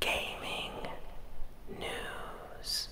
gaming news.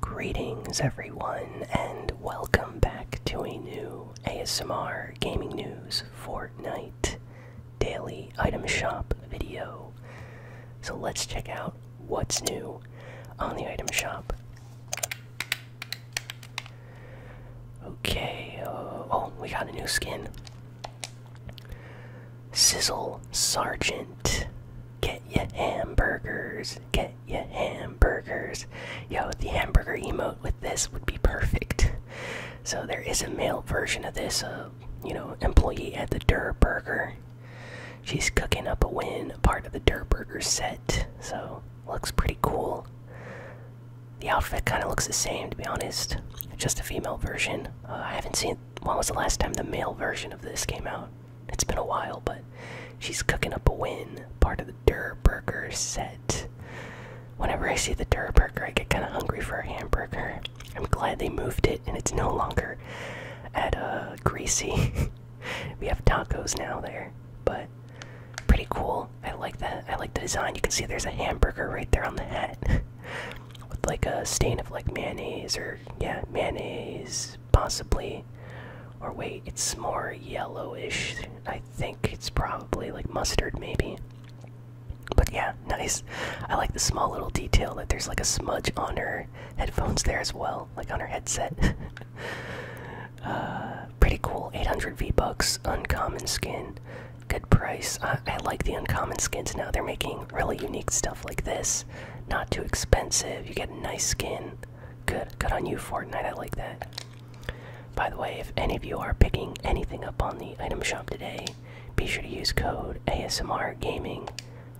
Greetings, everyone, and welcome back to a new ASMR Gaming News Fortnite Daily Item Shop video. So let's check out what's new on the item shop. Okay, uh, oh, we got a new skin. Sizzle Sergeant. Get your hamburgers. Get your hamburgers. Yo, the hamburger emote with this would be perfect. So there is a male version of this, uh, you know, employee at the Der Burger She's cooking up a win, part of the Dirt set, so looks pretty cool. The outfit kind of looks the same, to be honest. Just a female version. Uh, I haven't seen. When was the last time the male version of this came out? It's been a while, but she's cooking up a win, part of the Durr set. Whenever I see the Durr I get kind of hungry for a hamburger. I'm glad they moved it, and it's no longer at a. Uh, greasy. we have tacos now there, but pretty cool. I like that. I like the design. You can see there's a hamburger right there on the hat with like a stain of like mayonnaise or yeah, mayonnaise possibly. Or wait, it's more yellowish. I think it's probably like mustard maybe. But yeah, nice. I like the small little detail that there's like a smudge on her headphones there as well, like on her headset. Uh, pretty cool. 800 V bucks, uncommon skin, good price. I like the uncommon skins now. They're making really unique stuff like this. Not too expensive. You get a nice skin. Good, good on you, Fortnite. I like that. By the way, if any of you are picking anything up on the item shop today, be sure to use code ASMR Gaming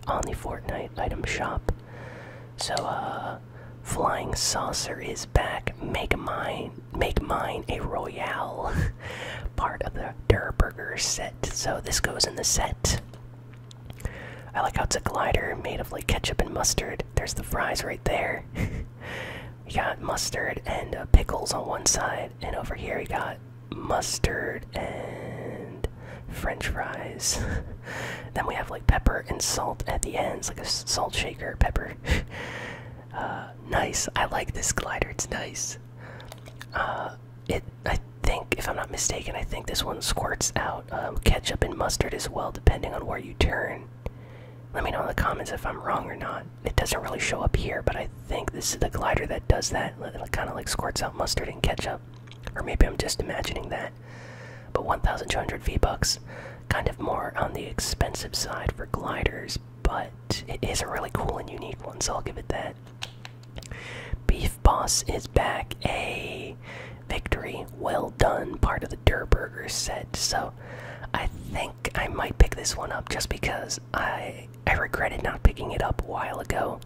on the Fortnite item shop so, uh, flying saucer is back. Make mine, make mine a royale, part of the Durburger set. So this goes in the set. I like how it's a glider made of like ketchup and mustard. There's the fries right there. you got mustard and uh, pickles on one side, and over here you got mustard and french fries. then we have like pepper and salt at the ends, like a salt shaker, pepper. Uh, nice. I like this glider. It's nice. Uh, it. I think, if I'm not mistaken, I think this one squirts out um, ketchup and mustard as well, depending on where you turn. Let me know in the comments if I'm wrong or not. It doesn't really show up here, but I think this is the glider that does that. It kind of like squirts out mustard and ketchup. Or maybe I'm just imagining that. But 1,200 V-Bucks, kind of more on the expensive side for gliders, but it is a really cool and unique one, so I'll give it that. Beef Boss is back. A victory. Well done. Part of the Durburger set. So I think I might pick this one up just because I I regretted not picking it up a while ago.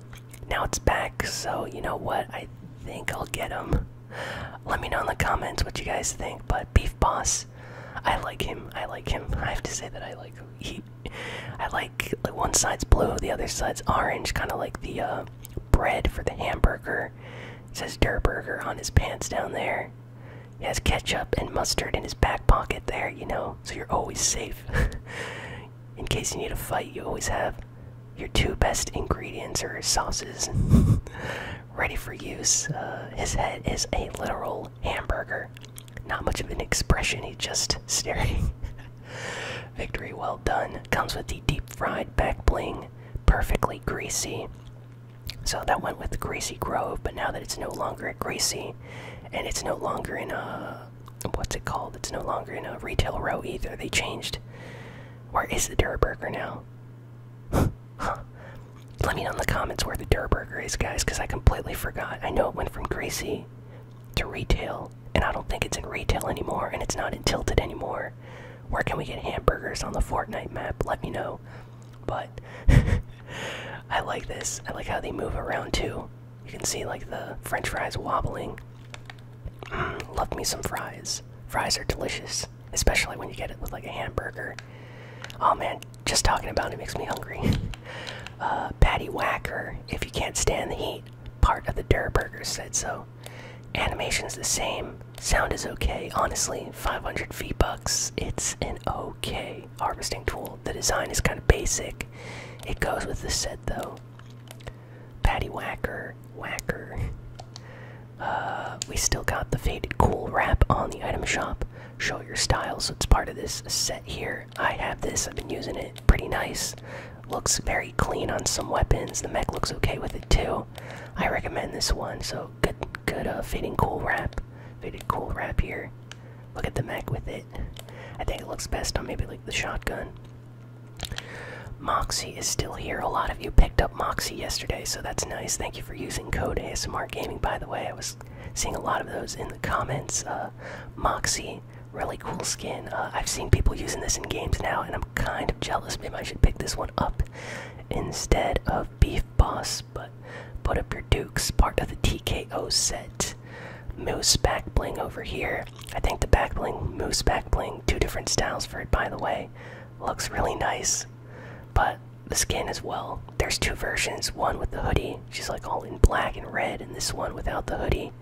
Now it's back, so you know what? I think I'll get him. Let me know in the comments what you guys think, but Beef Boss, I like him. I like him. I have to say that I like He, I like, one side's blue, the other side's orange, kind of like the uh, bread for the hamburger. says Der Burger on his pants down there. He has ketchup and mustard in his back pocket there, you know, so you're always safe. in case you need a fight, you always have your two best ingredients or sauces ready for use. Uh, his head is a literal hamburger. Not much of an expression, he's just staring. Victory well done. Comes with the deep fried back bling, perfectly greasy. So that went with the Greasy Grove, but now that it's no longer Greasy and it's no longer in a uh, what's it called? It's no longer in a retail row either. They changed. Where is the Durburger now? Let me know in the comments where the Durburger is, guys, because I completely forgot. I know it went from Gracie to retail, and I don't think it's in retail anymore, and it's not in Tilted anymore. Where can we get hamburgers on the Fortnite map? Let me know. But I like this. I like how they move around too. You can see like the French fries wobbling. Mm, love me some fries. Fries are delicious, especially when you get it with like a hamburger. Oh man, just talking about it makes me hungry. uh, Patty Whacker, if you can't stand the heat, part of the Durr Burger said so. Animation's the same. Sound is okay. Honestly, 500 V bucks. It's an okay harvesting tool. The design is kind of basic. It goes with the set though. Patty Whacker, Whacker. Uh, we still got the faded cool wrap on the item shop. Show your style, so it's part of this set here. I have this, I've been using it, pretty nice. Looks very clean on some weapons. The mech looks okay with it too. I recommend this one, so good good uh cool wrap. Faded cool wrap here. Look at the mech with it. I think it looks best on maybe like the shotgun. Moxie is still here. A lot of you picked up Moxie yesterday, so that's nice. Thank you for using code ASMR Gaming, by the way. I was seeing a lot of those in the comments. Uh, Moxie, really cool skin. Uh, I've seen people using this in games now, and I'm kind of jealous. Maybe I should pick this one up instead of Beef Boss, but put up your dukes. Part of the TKO set. Moose back bling over here. I think the back bling, moose back bling, two different styles for it, by the way. Looks really nice, but the skin as well. There's two versions one with the hoodie, she's like all in black and red, and this one without the hoodie.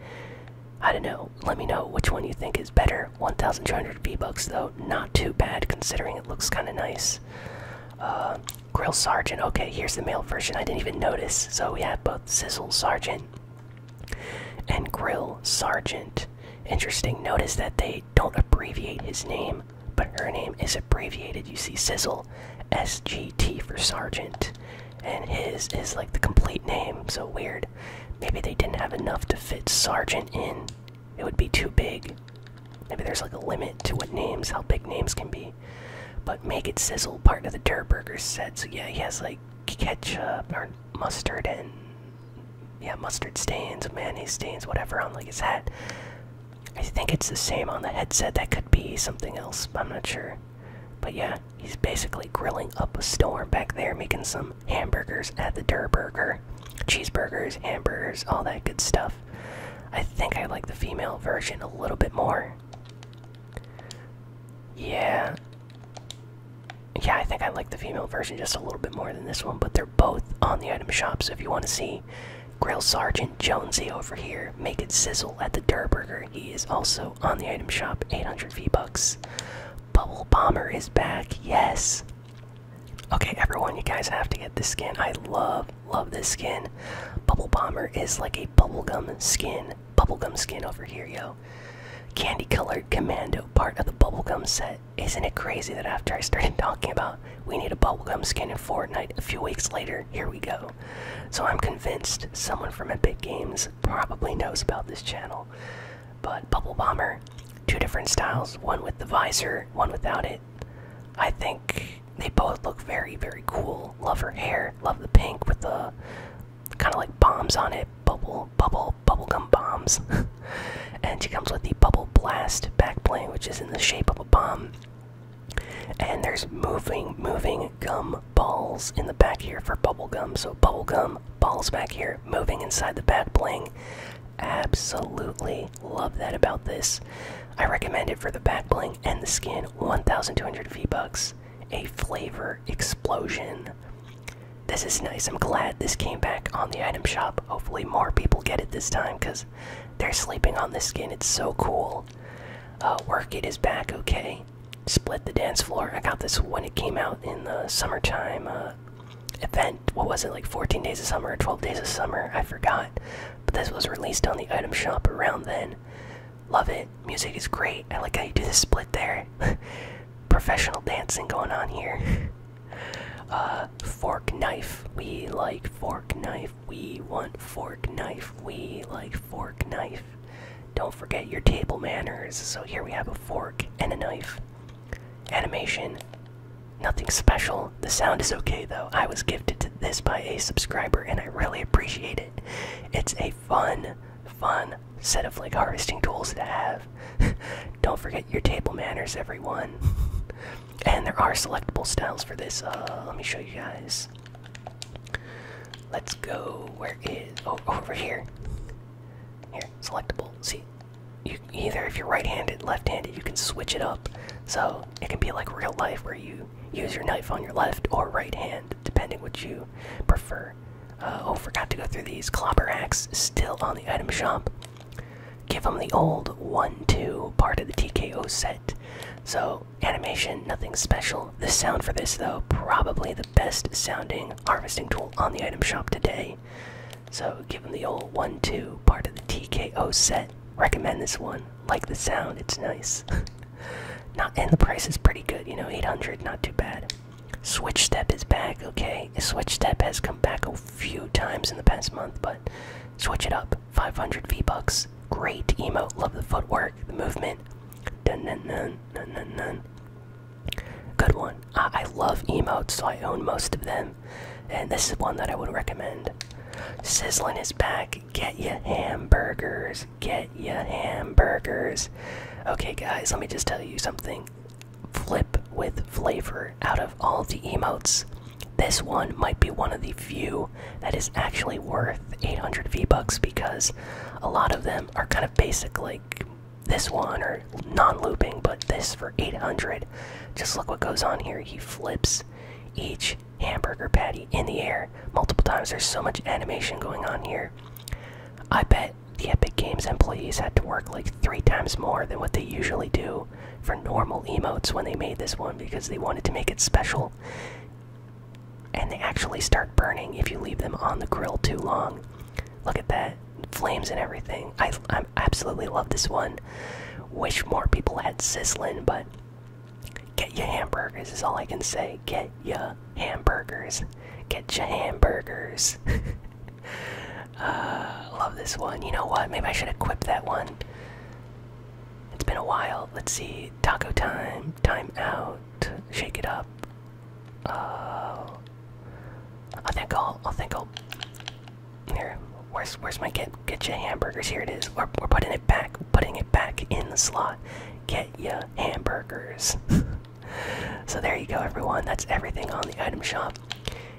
I don't know. Let me know which one you think is better. 1,200 V-Bucks though, not too bad considering it looks kind of nice. Uh, Grill Sergeant. Okay, here's the male version. I didn't even notice. So we have both Sizzle Sergeant and Grill Sergeant. Interesting. Notice that they don't abbreviate his name, but her name is abbreviated. You see Sizzle, SGT for Sergeant. And his is like the complete name, so weird. Maybe they didn't have enough to fit Sergeant in. It would be too big. Maybe there's like a limit to what names, how big names can be. But make it sizzle, part of the Durburger set. So yeah, he has like ketchup or mustard and yeah, mustard stains, mayonnaise stains, whatever on like his hat. I think it's the same on the headset. That could be something else. I'm not sure. But yeah, he's basically grilling up a storm back there, making some hamburgers at the Durburger, Cheeseburgers, hamburgers, all that good stuff. I think I like the female version a little bit more. Yeah, yeah, I think I like the female version just a little bit more than this one, but they're both on the item shop. So if you want to see Grill Sergeant Jonesy over here make it sizzle at the Durburger, he is also on the item shop. 800 V bucks. Bubble Bomber is back. Yes. Okay, everyone, you guys have to get this skin. I love, love this skin. Bubble Bomber is like a bubblegum skin, bubblegum skin over here, yo. Candy colored commando, part of the bubblegum set. Isn't it crazy that after I started talking about we need a bubblegum skin in Fortnite, a few weeks later, here we go. So I'm convinced someone from Epic Games probably knows about this channel. But Bubble Bomber, two different styles, one with the visor, one without it. I think they both look very, very cool. Love her hair, love the pink with the kind of like bombs on it bubble, bubble, bubblegum bombs. and she comes with the Bubble Blast backplane, which is in the shape of a bomb. And there's moving, moving gum balls in the back here for bubble gum. So bubble gum balls back here, moving inside the back bling. Absolutely love that about this. I recommend it for the back bling and the skin. 1,200 V bucks. A flavor explosion. This is nice. I'm glad this came back on the item shop. Hopefully, more people get it this time because they're sleeping on this skin. It's so cool. Uh, work it is back. Okay. Split the dance floor. I got this when it came out in the summertime uh, event. What was it, like 14 days of summer or 12 days of summer? I forgot. But this was released on the item shop around then. Love it. Music is great. I like how you do the split there. professional dancing going on here. Uh, fork knife. We like fork knife. We want fork knife. We like fork knife. Don't forget your table manners. So here we have a fork and a knife. Animation. Nothing special. The sound is okay though. I was gifted this by a subscriber and I really appreciate it. It's a fun, fun set of like harvesting tools to have. Don't forget your table manners, everyone. and there are selectable styles for this. Uh, let me show you guys. Let's go. Where is? Oh, oh, over here. Here, selectable. See, you either if you're right-handed, left-handed, you can switch it up. So it can be like real life where you use your knife on your left or right hand, depending what you prefer. Uh, oh, forgot to go through these. Clobber Axe still on the item shop. Give them the old 1 2 part of the TKO set. So, animation, nothing special. The sound for this, though, probably the best sounding harvesting tool on the item shop today. So, give them the old 1 2 part of the TKO set. Recommend this one. Like the sound, it's nice. not, and the price is pretty good, you know, 800, not too bad. Switch Step is back, okay? Switch Step has come back a few times in the past month, but switch it up. 500 V-Bucks. Great emote. Love the footwork, the movement. Dun dun dun dun dun dun. Good one. I, love emotes, so I own most of them. And this is one that I would recommend. Sizzling is back. Get ya hamburgers. Get yeah, hamburgers. Okay, guys, let me just tell you something. Flip with flavor out of all the emotes. This one might be one of the few that is actually worth 800 V-Bucks because a lot of them are kind of basic, like this one, or non looping, but this for 800. Just look what goes on here. He flips each hamburger patty in the air multiple times. There's so much animation going on here. I bet the Epic Games employees had to work like three times more than what they usually do for normal emotes when they made this one because they wanted to make it special. And they actually start burning if you leave them on the grill too long. Look at that. Flames and everything. I, I absolutely love this one. Wish more people had sizzling, but get your hamburgers is all I can say. Get ya hamburgers. Get your hamburgers. Uh, love this one. You know what? Maybe I should equip that one. It's been a while. Let's see. Taco time. Time out. Shake it up. Uh, I think I'll. I think I'll. Here. Where's Where's my get Get your hamburgers? Here it is. We're We're putting it back. Putting it back in the slot. Get your hamburgers. so there you go everyone that's everything on the item shop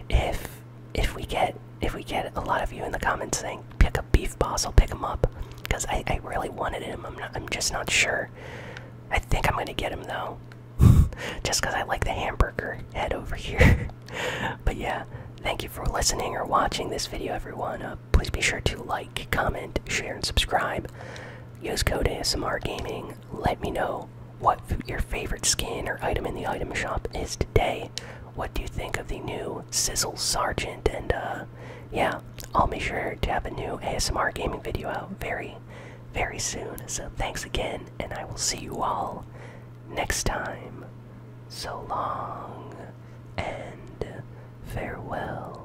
if if we get if we get a lot of you in the comments saying pick up beef boss i'll pick him up because I, I really wanted him i'm i'm just not sure i think i'm gonna get him though just because i like the hamburger head over here but yeah thank you for listening or watching this video everyone uh, please be sure to like comment share and subscribe use code asmr gaming let me know what your favorite skin or item in the item shop is today. What do you think of the new Sizzle Sergeant? And uh, yeah, I'll be sure to have a new ASMR gaming video out very, very soon. So thanks again, and I will see you all next time. So long and farewell.